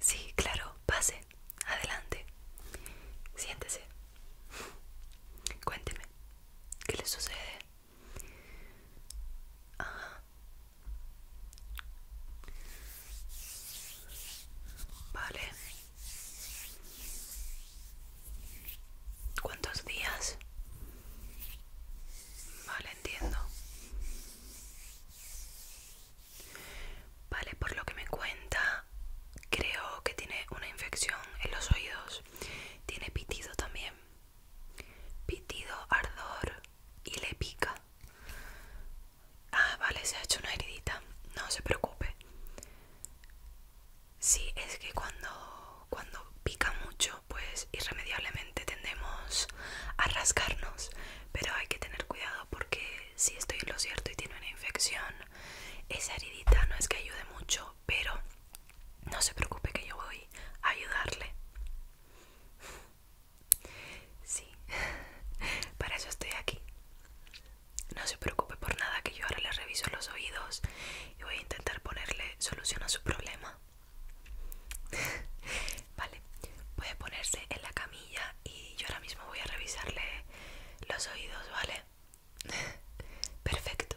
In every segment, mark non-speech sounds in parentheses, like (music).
Sí, claro, pase, adelante. Siéntese. Cuénteme, ¿qué le sucede? Vale. ¿Cuántos días? Vale, entiendo. Vale, por lo que me cuenta, creo que tiene una infección en los oídos. Tiene pitido también. Pitido, ardor y le pica. Ah, vale, se ha hecho una heridita. No se preocupe. Sí, es que cuando, cuando pica mucho, pues irremediablemente tendemos a rascarnos pero hay que tener cuidado porque si estoy en lo cierto y tiene una infección, esa heridita no es que ayude mucho, pero no se preocupe que yo voy a ayudarle. Sí, (laughs) para eso estoy aquí. No se preocupe por nada que yo ahora le reviso los oídos y voy a intentar ponerle solución a su problema. (laughs) vale, puede ponerse en la camilla y yo ahora mismo voy a revisarle los oídos, ¿vale? (laughs) Perfecto.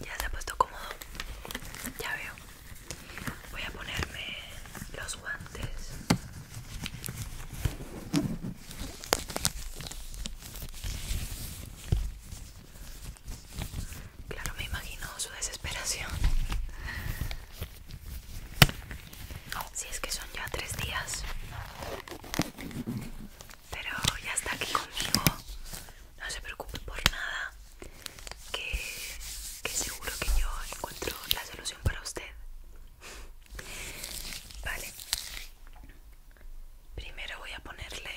Ya se ha puesto cómodo. Ya veo. Voy a ponerme los guantes. Claro, me imagino su desesperación. Si es que son ya tres días. Pero ya está aquí conmigo. No se preocupe por nada. que seguro que yo encuentro la solución para usted. Vale. Primero voy a ponerle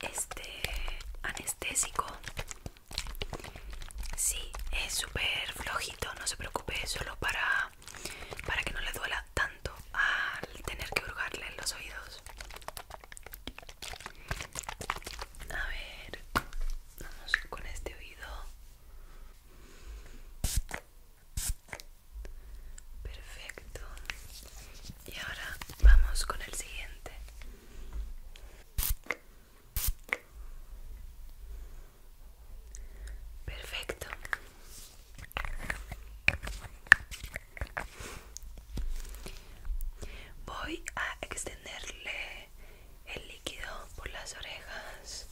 este anestésico. Sí, es súper flojito, no se preocupe, solo para, para que no le duela tanto al tener que hurgarle en los oídos. A ver, vamos con este oído. Perfecto. Y ahora vamos con el siguiente. Perfecto. Voy a extenderle el líquido por las orejas.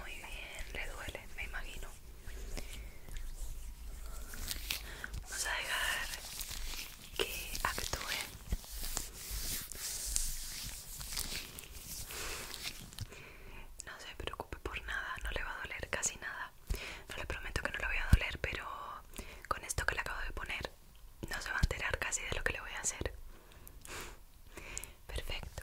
Muy bien, le duele, me imagino. Vamos a dejar que actúe. No se preocupe por nada, no le va a doler casi nada. No le prometo que no le voy a doler, pero con esto que le acabo de poner no se va a enterar casi de lo que le voy a hacer. Perfecto.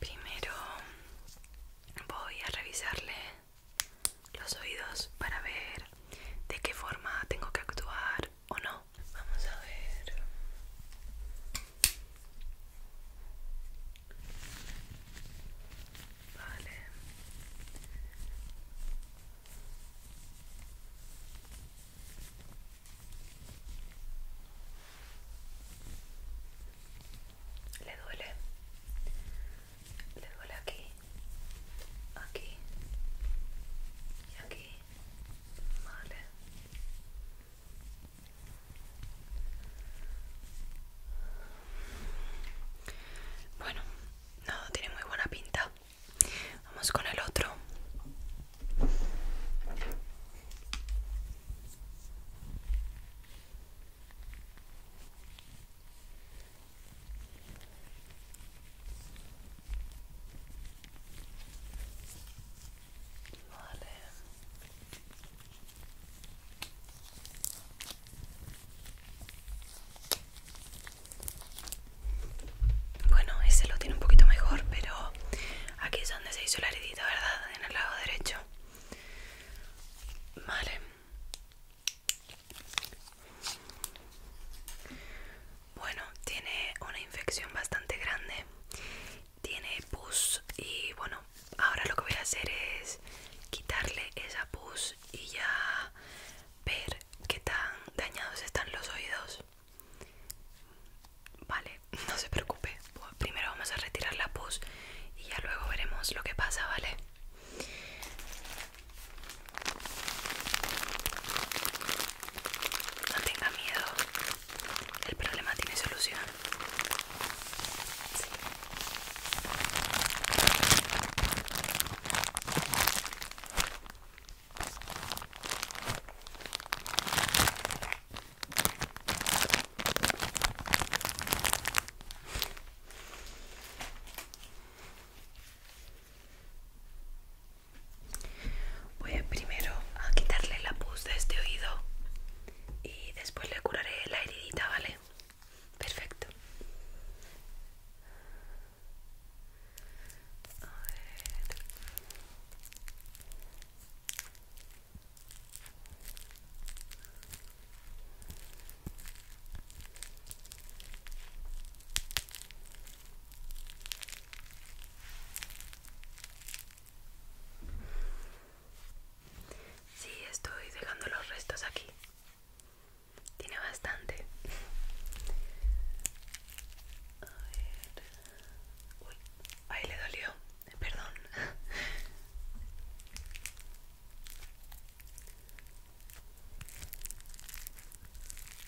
Primero voy a revisarle los oídos para ver de qué forma tengo que actuar o no. Vamos a ver. Vale. Le duele. Le duele aquí. Aquí. Y aquí. Vale. Bueno, no tiene muy buena pinta. Vamos con el otro. Bueno, ese lo tiene un poquito mejor, pero aquí es donde se hizo la herida, ¿verdad? En el lado derecho. Vale. Bueno, tiene una infección bastante grande tiene pus y bueno ahora lo que voy a hacer es quitarle esa pus y ya ver qué tan dañados están los oídos vale (laughs) no se preocupe primero vamos a retirar la pus y ya luego veremos lo que pasa vale no tenga miedo el problema tiene solución. Voy a primero a quitarle la pus de este oído y después le curaré la heridita, ¿vale? Perfecto. A ver. Sí, estoy dejando los restos aquí. Tiene bastante. A ver. Uy, ahí le dolió. Perdón.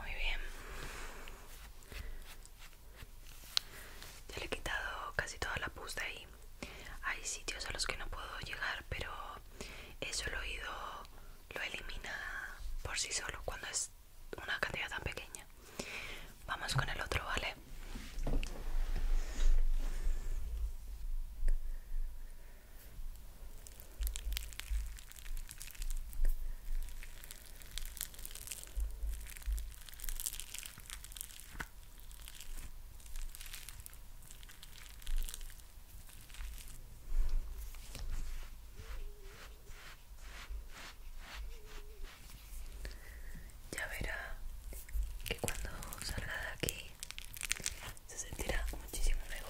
Muy bien. Ya le he quitado casi toda la pusta ahí. Hay sitios a los que no puedo llegar, pero eso el oído lo elimina por sí solo cuando es una cantidad tan pequeña. Vamos con el otro, ¿vale? Ya verá que cuando salga de aquí se sentirá muchísimo mejor.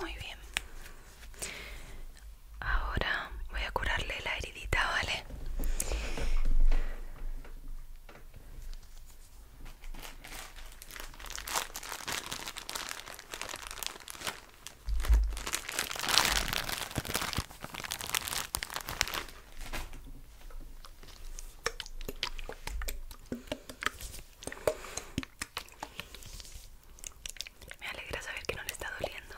Muy bien. Ahora voy a curarle la heridita, ¿vale? Me alegra saber que no le está doliendo.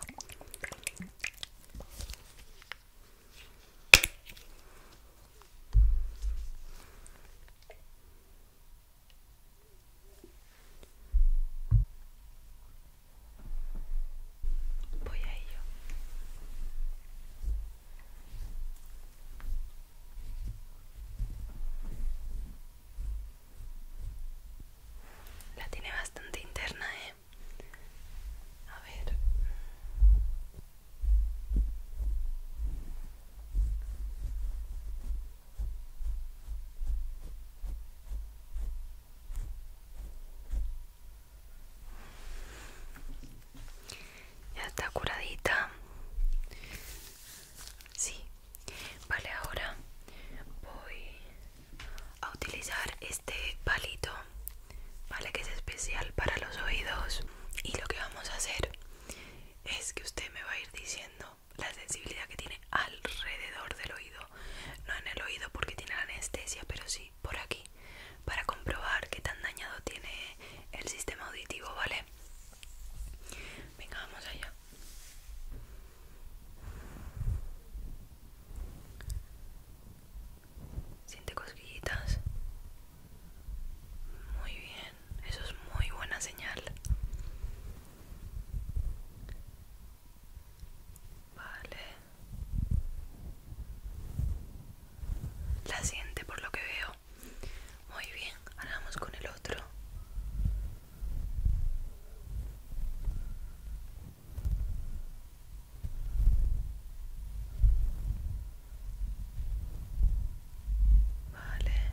Voy a ello. La tiene bastante interna, ¿eh? A ver. Ya está curadita. Sí, vale, ahora voy a utilizar este palito, vale, que es especial para los oídos. Y lo que vamos a hacer es que usted me va a ir diciendo la sensibilidad que tiene alrededor del oído, no en el oído porque tiene la anestesia, pero sí por aquí, para comprobar qué tan dañado tiene el sistema auditivo, ¿vale? Venga, vamos allá. Siente cosquillitas. Muy bien, eso es muy buena señal. Vale. La siente por lo que veo. Muy bien, ahora vamos con el otro. Vale,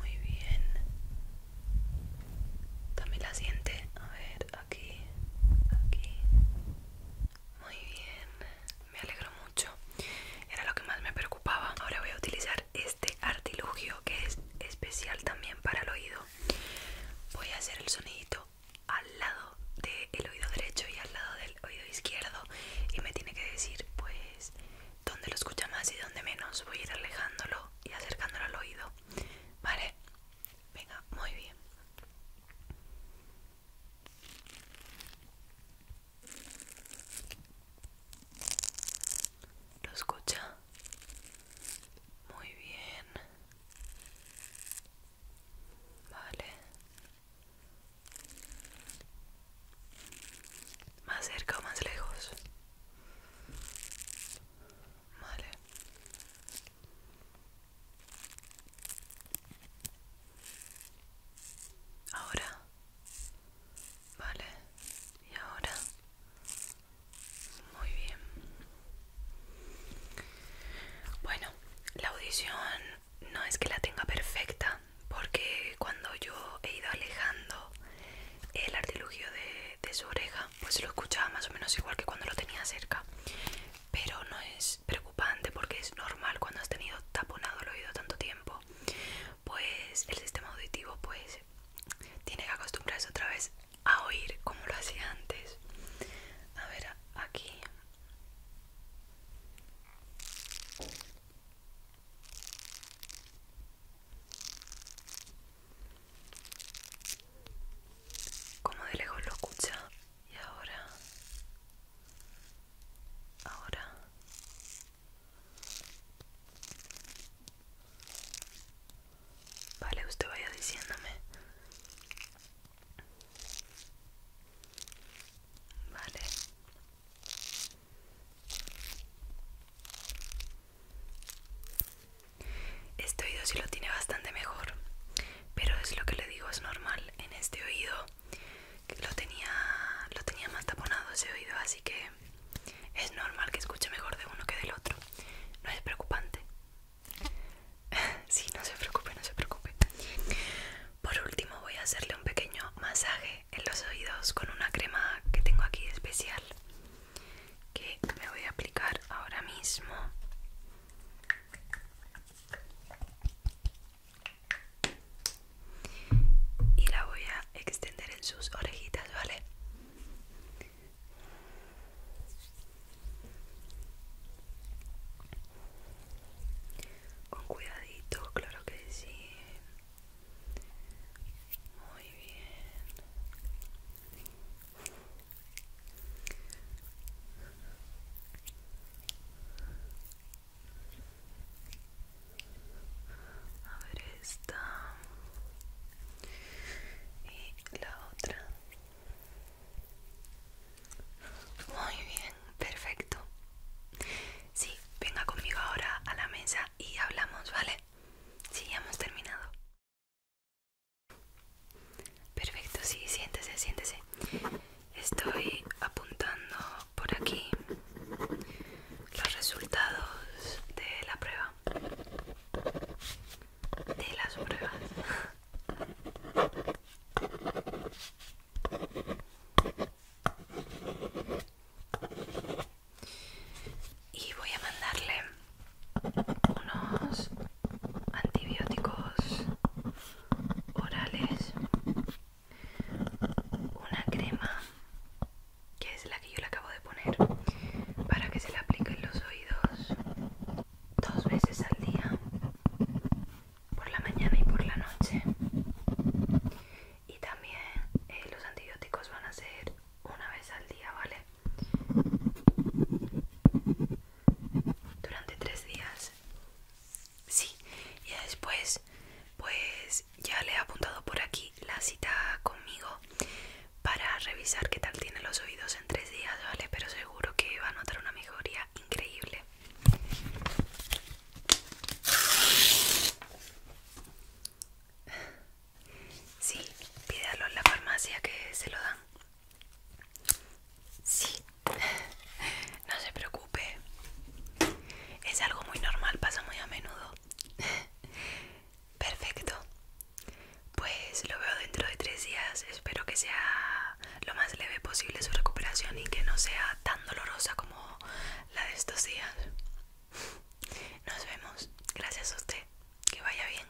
muy bien. También la siente. A ver, aquí, aquí, muy bien, me alegro mucho. Era lo que más me preocupaba. Ahora voy a utilizar este artilugio que es especial también para el oído. Voy a hacer el sonidito al lado del oído derecho y al lado del oído izquierdo y me tiene que decir pues dónde lo escucha más y dónde menos. Voy a ir alejándolo y acercándolo al oído. Vale, venga, muy bien. ¿Lo escucha? Muy bien. Vale. Más cerca o más lejos. Vale. Ahora. Vale. Y ahora. Muy bien. Bueno, la audición no es que la tenga perfecta, porque cuando yo he ido alejando el artilugio de, su oreja, pues lo escuchaba más o menos igual que cuando lo tenía cerca pero no es preocupante porque es normal cuando has tenido taponado el oído tanto tiempo pues el sistema auditivo pues tiene que acostumbrarse otra vez a oír como lo hacía antes a ver aquí como de lejos lo escucha y ahora ahora vale usted vaya diciéndome vale este oído sí lo tiene bastante mejor pero es lo que le digo es normal en este oído que lo tenía lo tenía más taponado ese oído así que es normal que escuche mejor de uno que del otro no es preocupante (laughs) sí no se preocupe no se preocupe por último voy a hacerle un pequeño masaje en los oídos con una crema que tengo aquí especial que me voy a aplicar ahora mismo y la voy a extender en sus orejitas, ¿vale? Con cuidadito, claro que sí. Muy bien a ver esta y la otra muy bien perfecto sí venga conmigo ahora a la mesa y hablamos vale sí ya hemos terminado Perfecto, sí, siéntese, siéntese. Estoy apuntando por aquí los resultados de la prueba. De las pruebas. Y voy a mandarle unos antibióticos orales una crema que es la que yo le acabo de poner para que se la aplique en los oídos dos veces al día por la mañana y por la noche y también eh, los antibióticos van a ser una vez al día vale durante tres días. Sí, y después, pues ya le he apuntado por aquí la cita conmigo para revisar qué tal tiene los oídos en tres días, ¿vale? Pero seguro que va a notar una mejoría increíble. Sí, pídalo en la farmacia que se lo dan. Sí, no se preocupe. Es algo muy normal, pasa muy a menudo. Perfecto. Pues lo veo dentro de tres días. Espero que sea lo más leve posible su recuperación y que no sea tan dolorosa como la de estos días. Nos vemos. Gracias a usted. Que vaya bien.